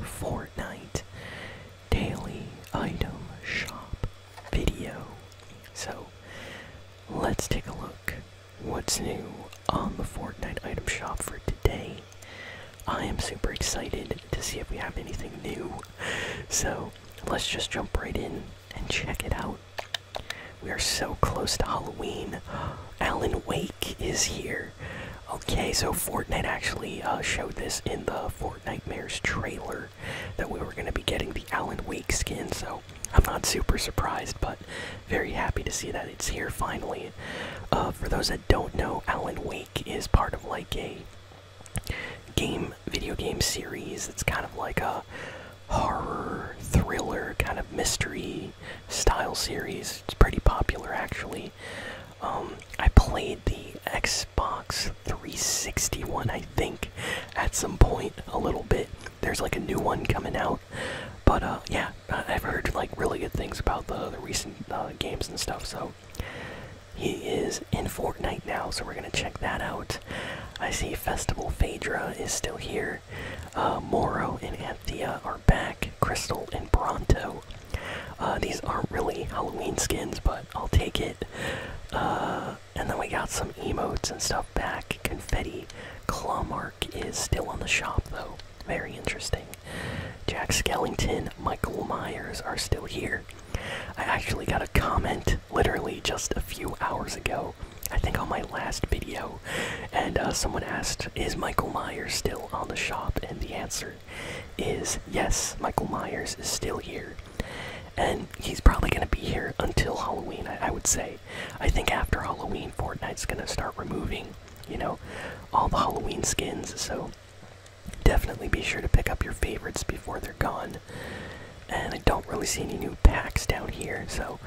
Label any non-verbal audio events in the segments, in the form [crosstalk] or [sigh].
Fortnite daily item shop video. So let's take a look what's new on the Fortnite item shop for today. I am super excited to see if we have anything new. So let's just jump right in and check it out. We are so close to Halloween. [gasps] Alan wait is here. Okay, so Fortnite actually uh, showed this in the Fortnite Mares trailer that we were going to be getting the Alan Wake skin, so I'm not super surprised, but very happy to see that it's here finally. Uh, for those that don't know, Alan Wake is part of like a game, video game series It's kind of like a horror, thriller, kind of mystery style series. It's pretty popular actually. Um, I played the Xbox 360 I think, at some point a little bit. There's like a new one coming out, but uh, yeah, uh, I've heard like really good things about the recent uh, games and stuff. So he is in Fortnite now, so we're gonna check that out. I see Festival Phaedra is still here. Uh, Moro and Anthea are back. Crystal and Bronto. Uh, these aren't really Halloween skins, but I'll take it. Uh, and then we got some emotes and stuff back. Confetti. Clawmark is still on the shop, though. Very interesting. Jack Skellington, Michael Myers are still here. I actually got a comment literally just a few hours ago. I think on my last video and uh, someone asked, "Is Michael Myers still on the shop?" And the answer is yes. Michael Myers is still here, and he's probably gonna be here until Halloween. I would say. I think after Halloween, Fortnite's gonna start removing, you know, all the Halloween skins. So definitely be sure to pick up your favorites before they're gone. And I don't really see any new packs down here, so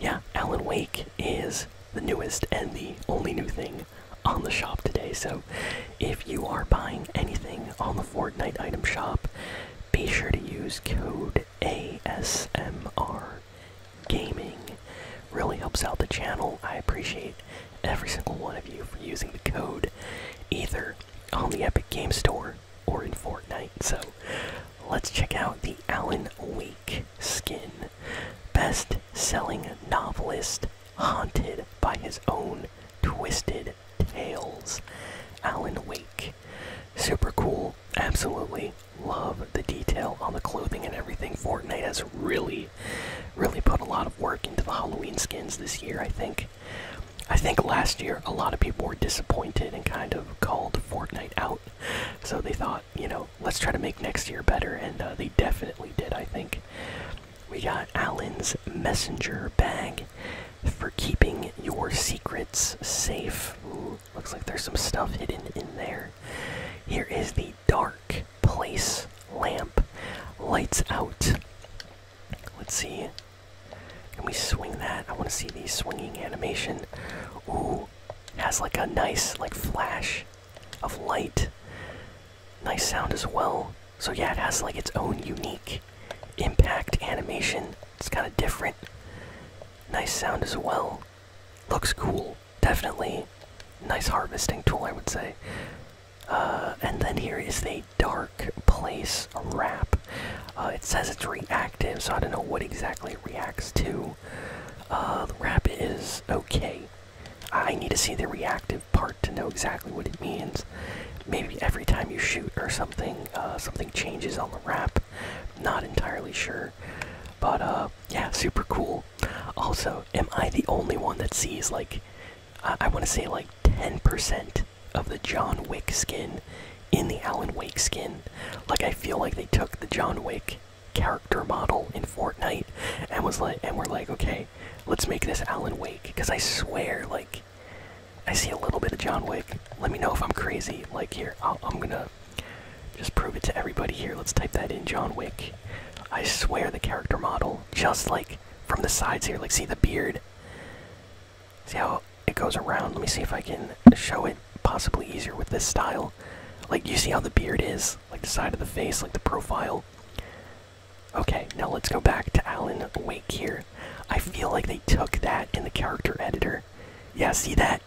yeah, Alan Wake is the newest and the only new thing on the shop today. So, if you are buying anything on the Fortnite item shop, be sure to use code ASMR Gaming. Really helps out the channel. I appreciate every single one of you for using the code either on the Epic Game Store or in Fortnite. So, let's check out the Alan Wake Skin. Best selling novelist haunted by his own twisted tales. Alan Wake. Super cool. Absolutely love the detail on the clothing and everything. Fortnite has really, really put a lot of work into the Halloween skins this year, I think. I think last year a lot of people were disappointed and kind of called Fortnite out so they thought, you know, let's try to make next year better, and uh, they definitely did, I think. We got Allen's messenger bag for keeping your secrets safe. looks like there's some stuff hidden in there. Here is the dark place lamp. Lights out. Let's see and we swing that. I want to see the swinging animation. Ooh, has like a nice like flash of light. Nice sound as well. So yeah, it has like its own unique impact animation. It's kind of different. Nice sound as well. Looks cool. Definitely nice harvesting tool, I would say. Uh, and then here is the Dark Place wrap. Uh, it says it's reactive, so I don't know what exactly it reacts to. Uh, the wrap is okay. I need to see the reactive part to know exactly what it means. Maybe every time you shoot or something, uh, something changes on the wrap. Not entirely sure. But yeah, super cool. Also, am I the only one that sees like, I want to say like 10% of the John Wick skin in the Alan Wake skin. Like I feel like they took the John Wick character model in Fortnite and was like and we're like, okay, let's make this Alan Wake. Cause I swear, like I see a little bit of John Wick. Let me know if I'm crazy. Like here, i I'm gonna just prove it to everybody here. Let's type that in, John Wick. I swear the character model, just like from the sides here, like see the beard. See how it goes around? Let me see if I can show it possibly easier with this style. Like, you see how the beard is? Like the side of the face, like the profile. Okay, now let's go back to Alan Wake here. I feel like they took that in the character editor. Yeah, see that?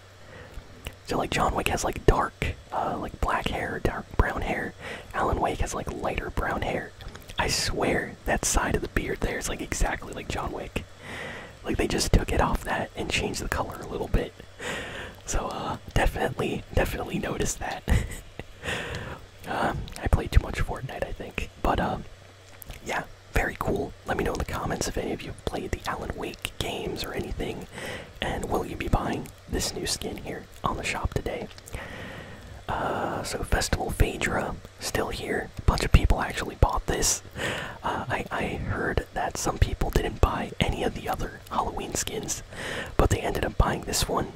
So, like, John Wick has, like, dark, uh, like, black hair, dark brown hair. Alan Wake has, like, lighter brown hair. I swear that side of the beard there is like exactly like John Wick. Like they just took it off that and changed the color a little bit. So uh, definitely, definitely noticed that. [laughs] Um, I play too much Fortnite, I think. But um, yeah, very cool. Let me know in the comments if any of you have played the Alan Wake games or anything, and will you be buying this new skin here on the shop today? Uh, so Festival Phaedra, still here. A bunch of people actually bought this. Uh, I, I heard that some people didn't buy any of the other Halloween skins, but they ended up buying this one.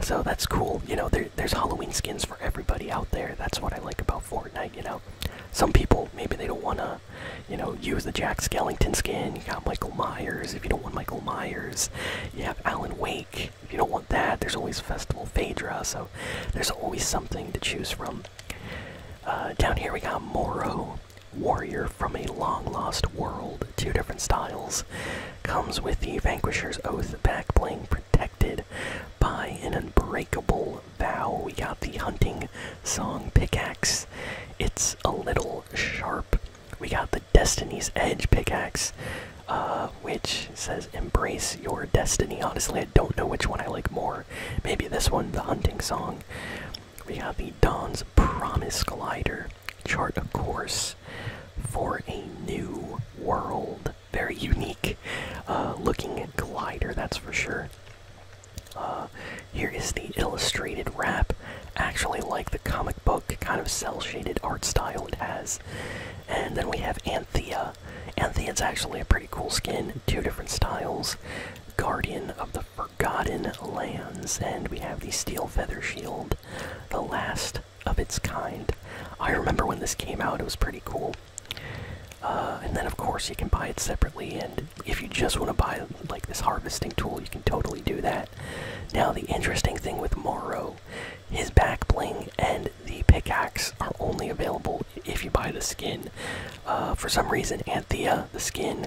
So that's cool. You know, there, there's Halloween skins for everybody out there. That's what I like about Fortnite, you know. Some people, maybe they don't want to, you know, use the Jack Skellington skin. You got Michael Myers. If you don't want Michael Myers, you have Alan Wake if you don't want that, there's always Festival Phaedra, so there's always something to choose from. Uh, down here we got Moro, Warrior from a Long Lost World, two different styles. Comes with the Vanquisher's Oath back protected by an unbreakable vow. We got the Hunting Song pickaxe. It's a little sharp. We got the Destiny's Edge pickaxe. Uh, which says embrace your destiny. Honestly, I don't know which one I like more. Maybe this one, the hunting song. We have the Dawn's Promise Glider. Chart a course for a new world. Very unique uh, looking glider, that's for sure. Uh, here is the illustrated wrap. Actually, like the comic book, kind of cell shaded art style it has. And then we have Anthea. Anthea's actually a pretty cool skin, two different styles. Guardian of the Forgotten Lands, and we have the Steel Feather Shield, the last of its kind. I remember when this came out, it was pretty cool. Uh, and then, of course, you can buy it separately, and if you just want to buy like this harvesting tool, you can totally do that. Now, the interesting thing with Morrow his back bling and the pickaxe are only available if you buy the skin. Uh, for some reason, Anthea, the skin,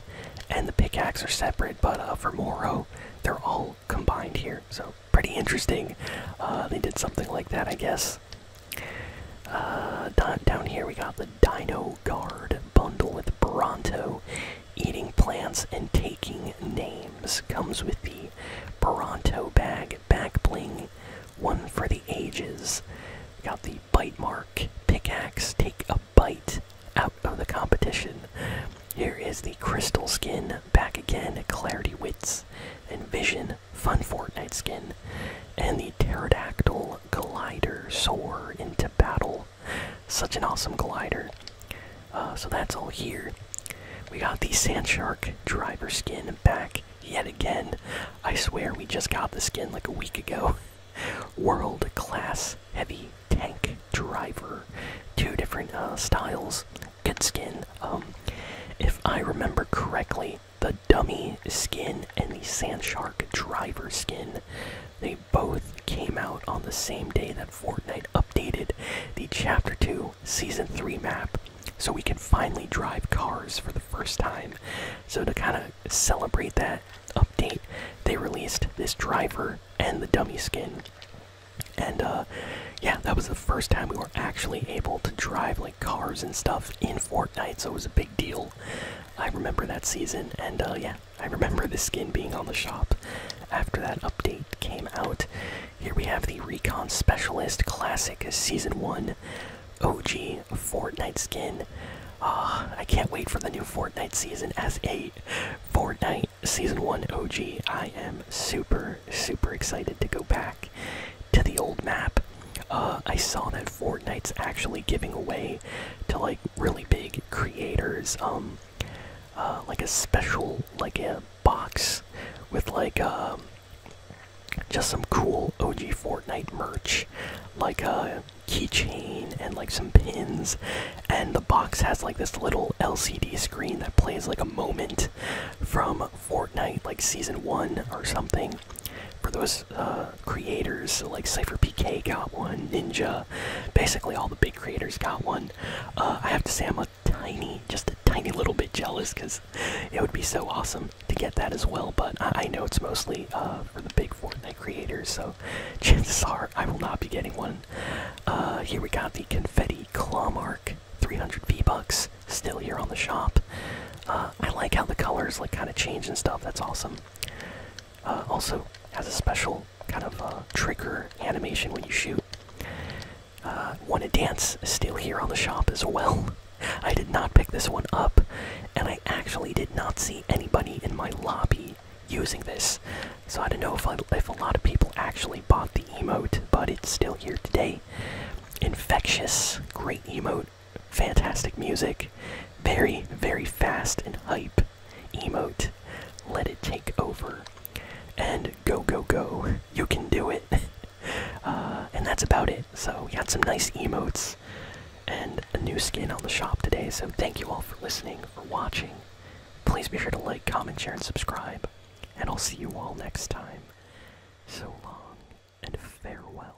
and the pickaxe are separate, but uh, for Moro, they're all combined here. So, pretty interesting. Uh, they did something like that, I guess. down here, we got the Dino Guard bundle with Bronto Eating plants and taking names comes with the Baronto bag back bling, one for the ages. Got the bite mark pickaxe. Take a bite out of the competition. Here is the crystal skin back again. Clarity wits and vision. Fun Fortnite skin. And the pterodactyl glider soar into battle. Such an awesome glider. Uh, so that's all here. We got the Sand Shark driver skin back yet again. I swear we just got the skin like a week ago. [laughs] World class heavy tank driver. Two different uh, styles. Good skin. Um, if I remember correctly, the dummy skin and the Sand Shark driver skin. They both came out on the same day that Fortnite updated the Chapter 2 Season 3 map so we can finally drive cars for the first time. So, to kind of celebrate that update, they released this driver and the dummy skin. And uh, yeah, that was the first time we were actually able to drive like cars and stuff in Fortnite, so it was a big deal. I remember that season, and uh, yeah, I remember the skin being on the shop after that update came out. Here we have the Recon Specialist Classic Season 1 OG Fortnite skin. Uh, I can't wait for the new Fortnite season S8. Fortnite Season 1 OG. I am super, super excited to go back to the old map. Uh, I saw that Fortnite's actually giving away to like really big creators. Um, uh, like a special like a box with like um, just some cool OG Fortnite merch, like a uh, keychain and like some pins, and the box has like this little LCD screen that plays like a moment from Fortnite, like season one or something. For those uh, creators, like Cipher PK got one, Ninja, uh, basically all the big creators got one. Uh, I have to say I'm a tiny, just a tiny little bit jealous because it would be so awesome to get that as well. But I, know it's mostly uh, for the big Fortnite creators, so [laughs] chances are I will not be getting one. here we got the confetti claw mark, 300 V bucks, still here on the shop. I like how the colors like kind of change and stuff. That's awesome. also has a special kind of uh, trigger animation when you shoot. Uh, Wanna Dance still here on the shop as well. [laughs] I did not pick this one up, and I actually did not see anybody in my lobby using this. So I don't know if, if a lot of people actually bought the emote, but it's still here today. Infectious, great emote, fantastic music, very, very fast and hype emote, let it take over, and go, go, go, you can do it. [laughs] Uh, and that's about it. So, we got some nice emotes and a new skin on the shop today. So, thank you all for listening, for watching. Please be sure to like, comment, share, and subscribe. And I'll see you all next time. So long and farewell.